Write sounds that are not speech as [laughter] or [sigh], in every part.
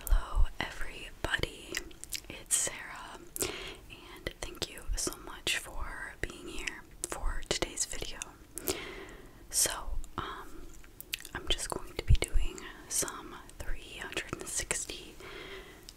Hello, everybody. It's Sarah, and thank you so much for being here for today's video. So, um, I'm just going to be doing some 360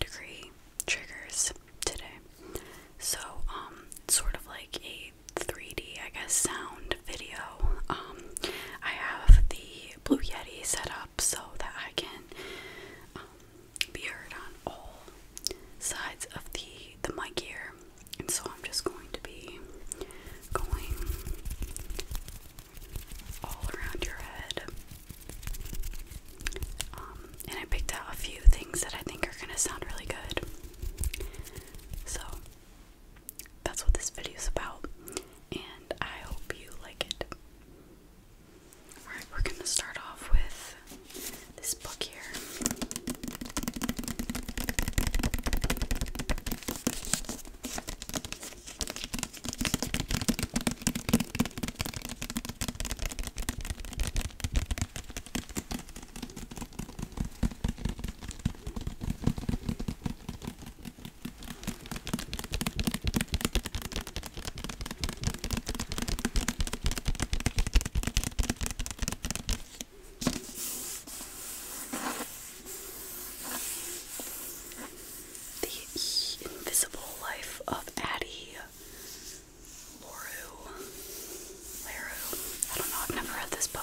degree triggers today. So, um, sort of like a 3D, I guess, sound video. Um, I have the Blue Yeti set up so that I can um, be heard on all sides of the the mic here. And so I'm just going to be going all around your head. Um, and I picked out a few things that I think are gonna sound really good. So that's what this video is about and I hope you like it. Alright, we're gonna start off with this book here. The Invisible Life of Addie Laru. Laru. I don't know, I've never read this book.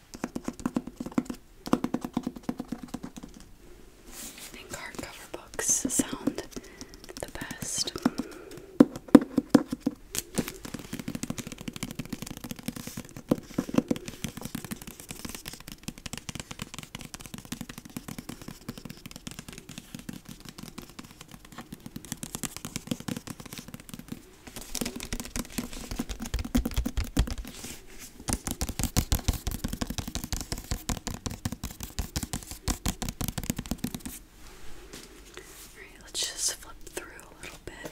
I think hardcover books sound the best let's just flip through a little bit.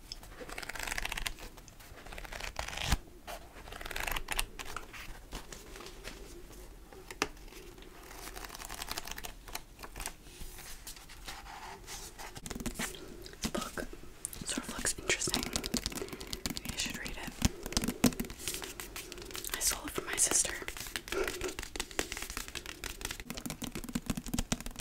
book sort of looks interesting. Maybe I should read it. I stole it from my sister. [laughs]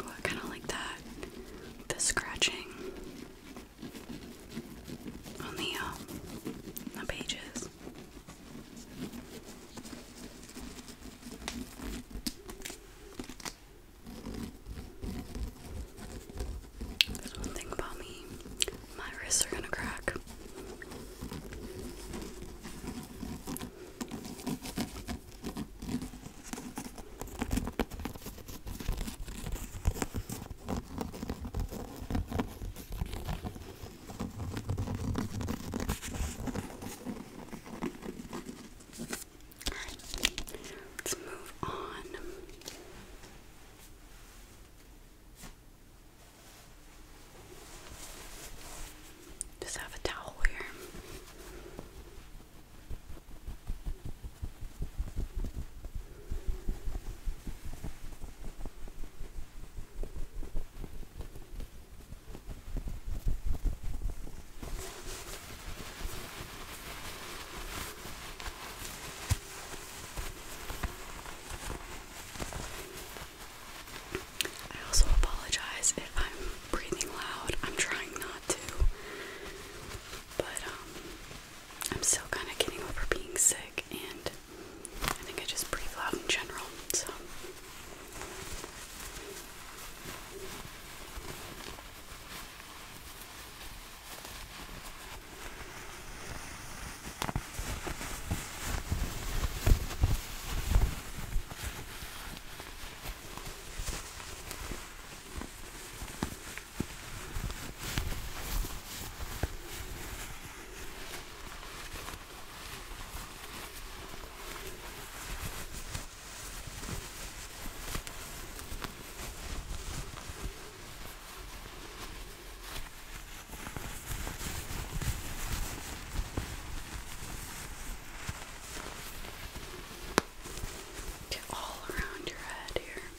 Oh, I kind of like that. The scratching on the um, pages. There's one thing about me, my wrists are gonna crack. Let's move on. Just have a towel here. I also apologize if I'm breathing loud. I'm trying not to. But um I'm still kind of getting over being sick, and I think I just breathe loud in general. So, Get all around your head here.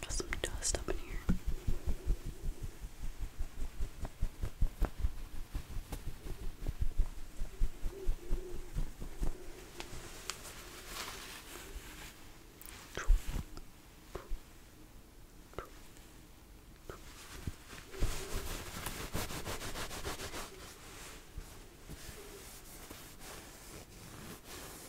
Got some dust up in here.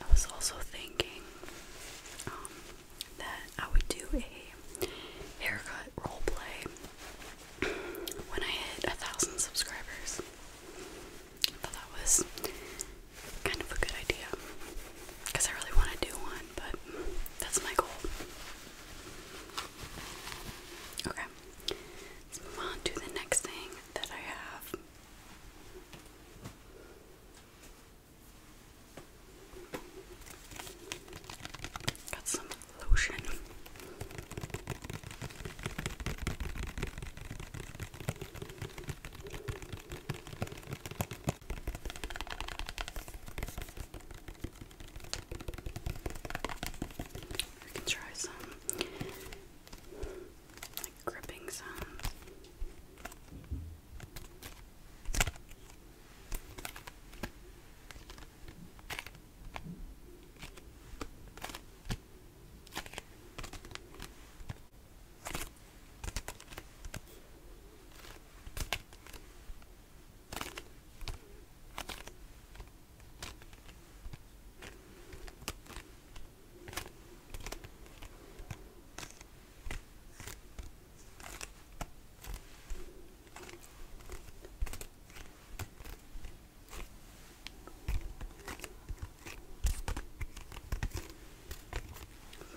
I was also thinking um, that I would do a haircut role play [clears throat] when I hit a thousand subscribers. I thought that was kind of a good idea because I really want to do one, but that's my goal. Okay, Let's move on to the next thing that I have. Got some lotion. We can try some like gripping sounds.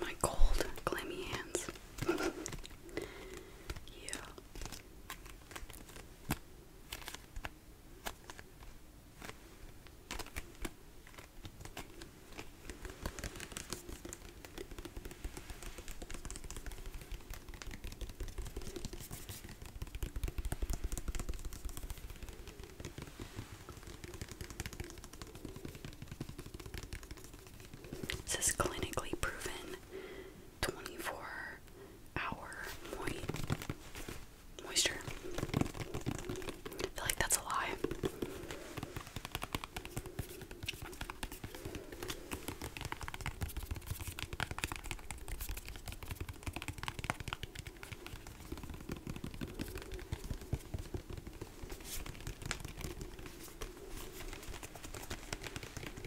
My cold, clammy hands. yeah. This is clinically proven 24 hour moisture. I feel like that's a lie.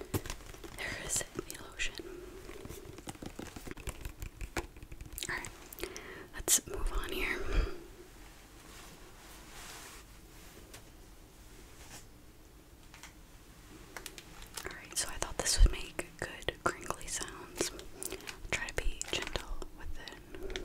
There is the lotion. Alright, let's move on here. Alright, so I thought this would make good crinkly sounds. try to be gentle with it.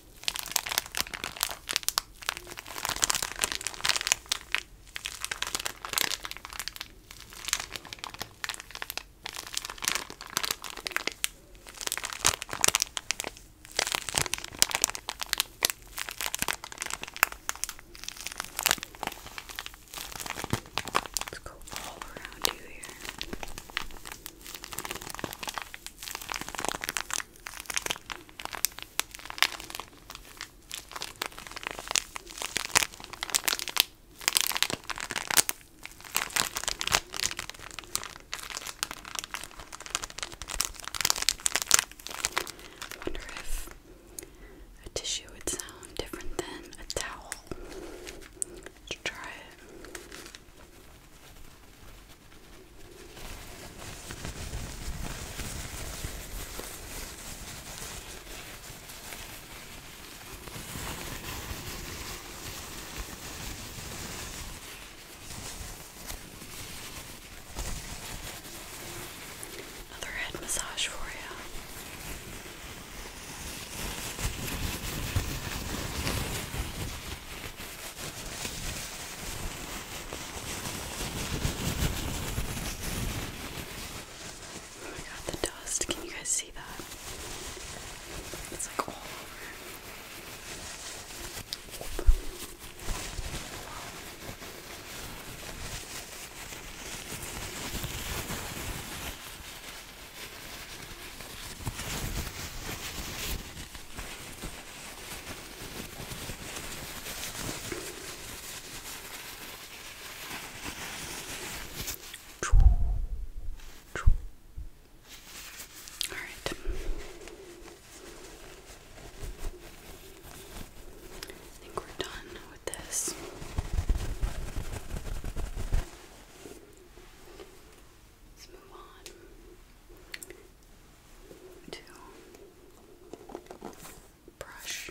Let's go all around you here wonder if a tissue would sound different than a towel. Let's try it. Another head massage for you. Oh my god, the dust. Can you guys see that? It's like all over. Oop. Wow. All right. I think we're done with this. Let's move on to brush.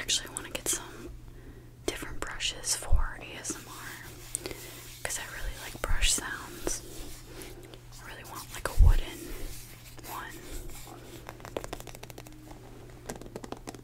Actually, I want to get some different brushes for ASMR because I really like brush sounds. I really want like a wooden one.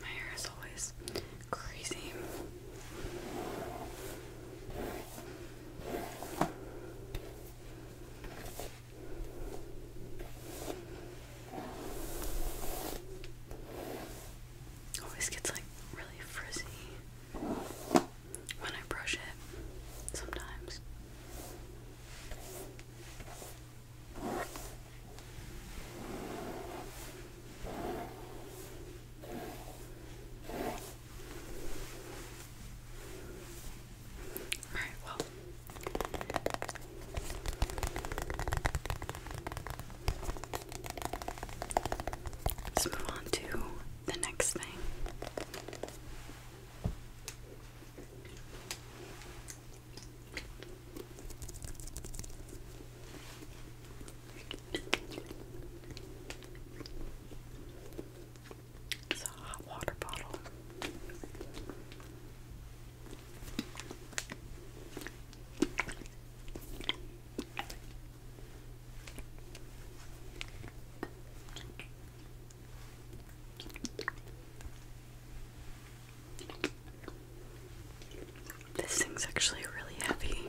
My hair is always crazy. Always gets like really frizzy when I brush it sometimes. Alright, well. Let's move on to the next thing. It's a hot water bottle. This thing's actually really heavy.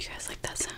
You guys like that sound?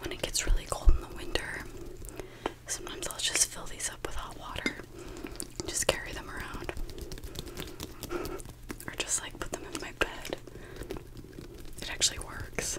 When it gets really cold in the winter, Sometimes I'll just fill these up with hot water. Just carry them around. Or just like put them in my bed. It actually works.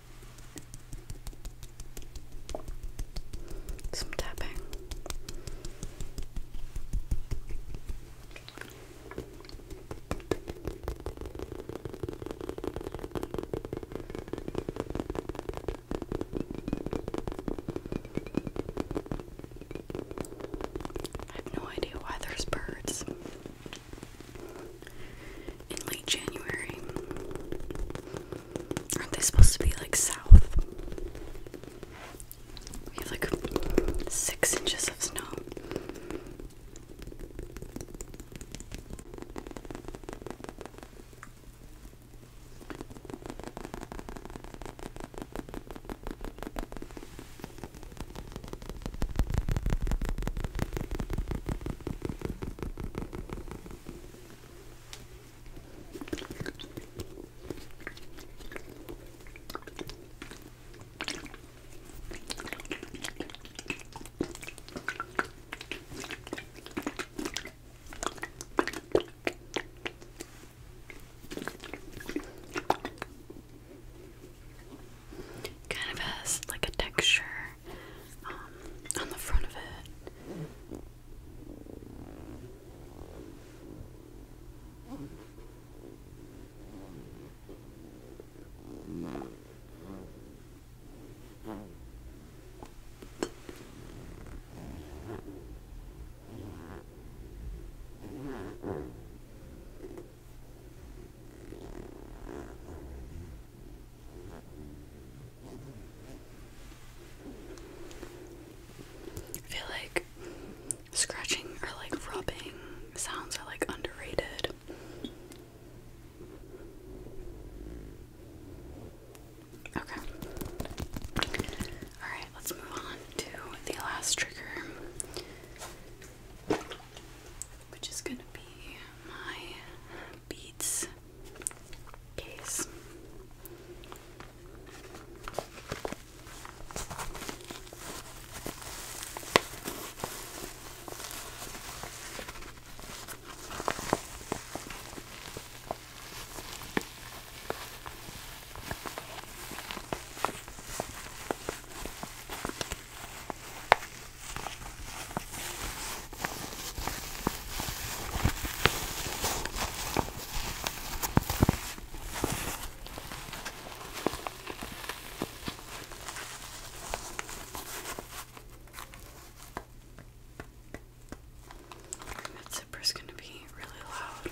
Some tapping. I have no idea why there's birds in late January. Aren't they supposed to be like south? We have like six inches of snow. Kind of has like a texture um, on the front of it. I feel like scratching or like rubbing sounds are like underrated. Okay. Alright, let's move on to the last trigger, which is going to be my Beats case. That zipper's going to be really loud.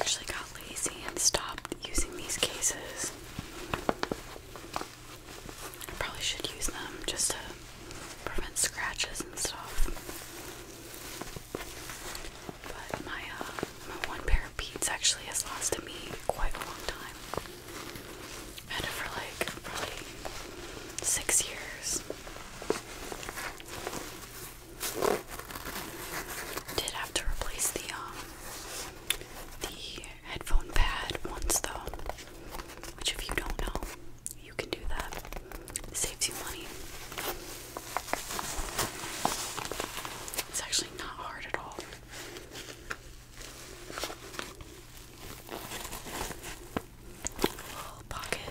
actually got lazy and stopped using these cases. I probably should use them just to prevent scratches and stuff. But my uh, my one pair of beads actually has lasted me quite a long time. had it for like probably six years. Did have to replace the um, the headphone pad once though, which if you don't know, you can do that. It saves you money. It's actually not hard at all. Little pocket.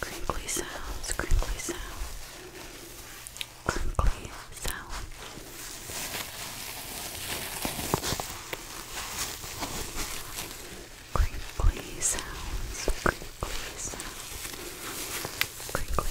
Crinkly sounds, crinkly sound, crinkly sound. Crinkly sounds, crinkly sounds, crinkly.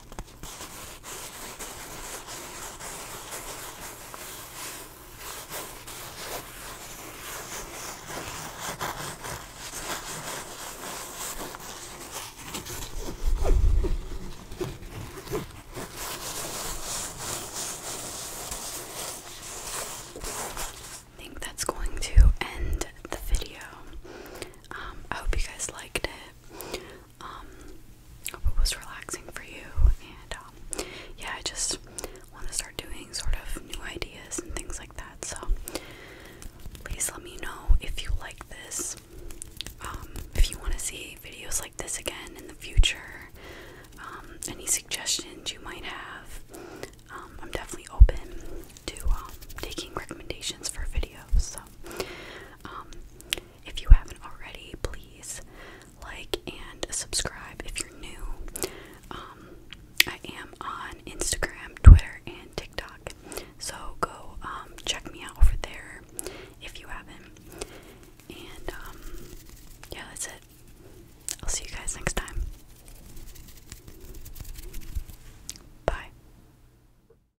I think that's going to end the video. Um, I hope you guys liked it um, hope it was relaxing for you. And um, yeah, I just want to start doing sort of new ideas and things like that. So please let me know if you like this. Um, if you want to see videos like this again in the future, um, any suggestions you might have, I'm definitely open to um, taking recommendations for videos. So, if you haven't already, please like and subscribe if you're new. Um, I am on Instagram, Twitter, and TikTok, so go um, check me out over there if you haven't. And um, yeah, that's it. I'll see you guys next time. Bye.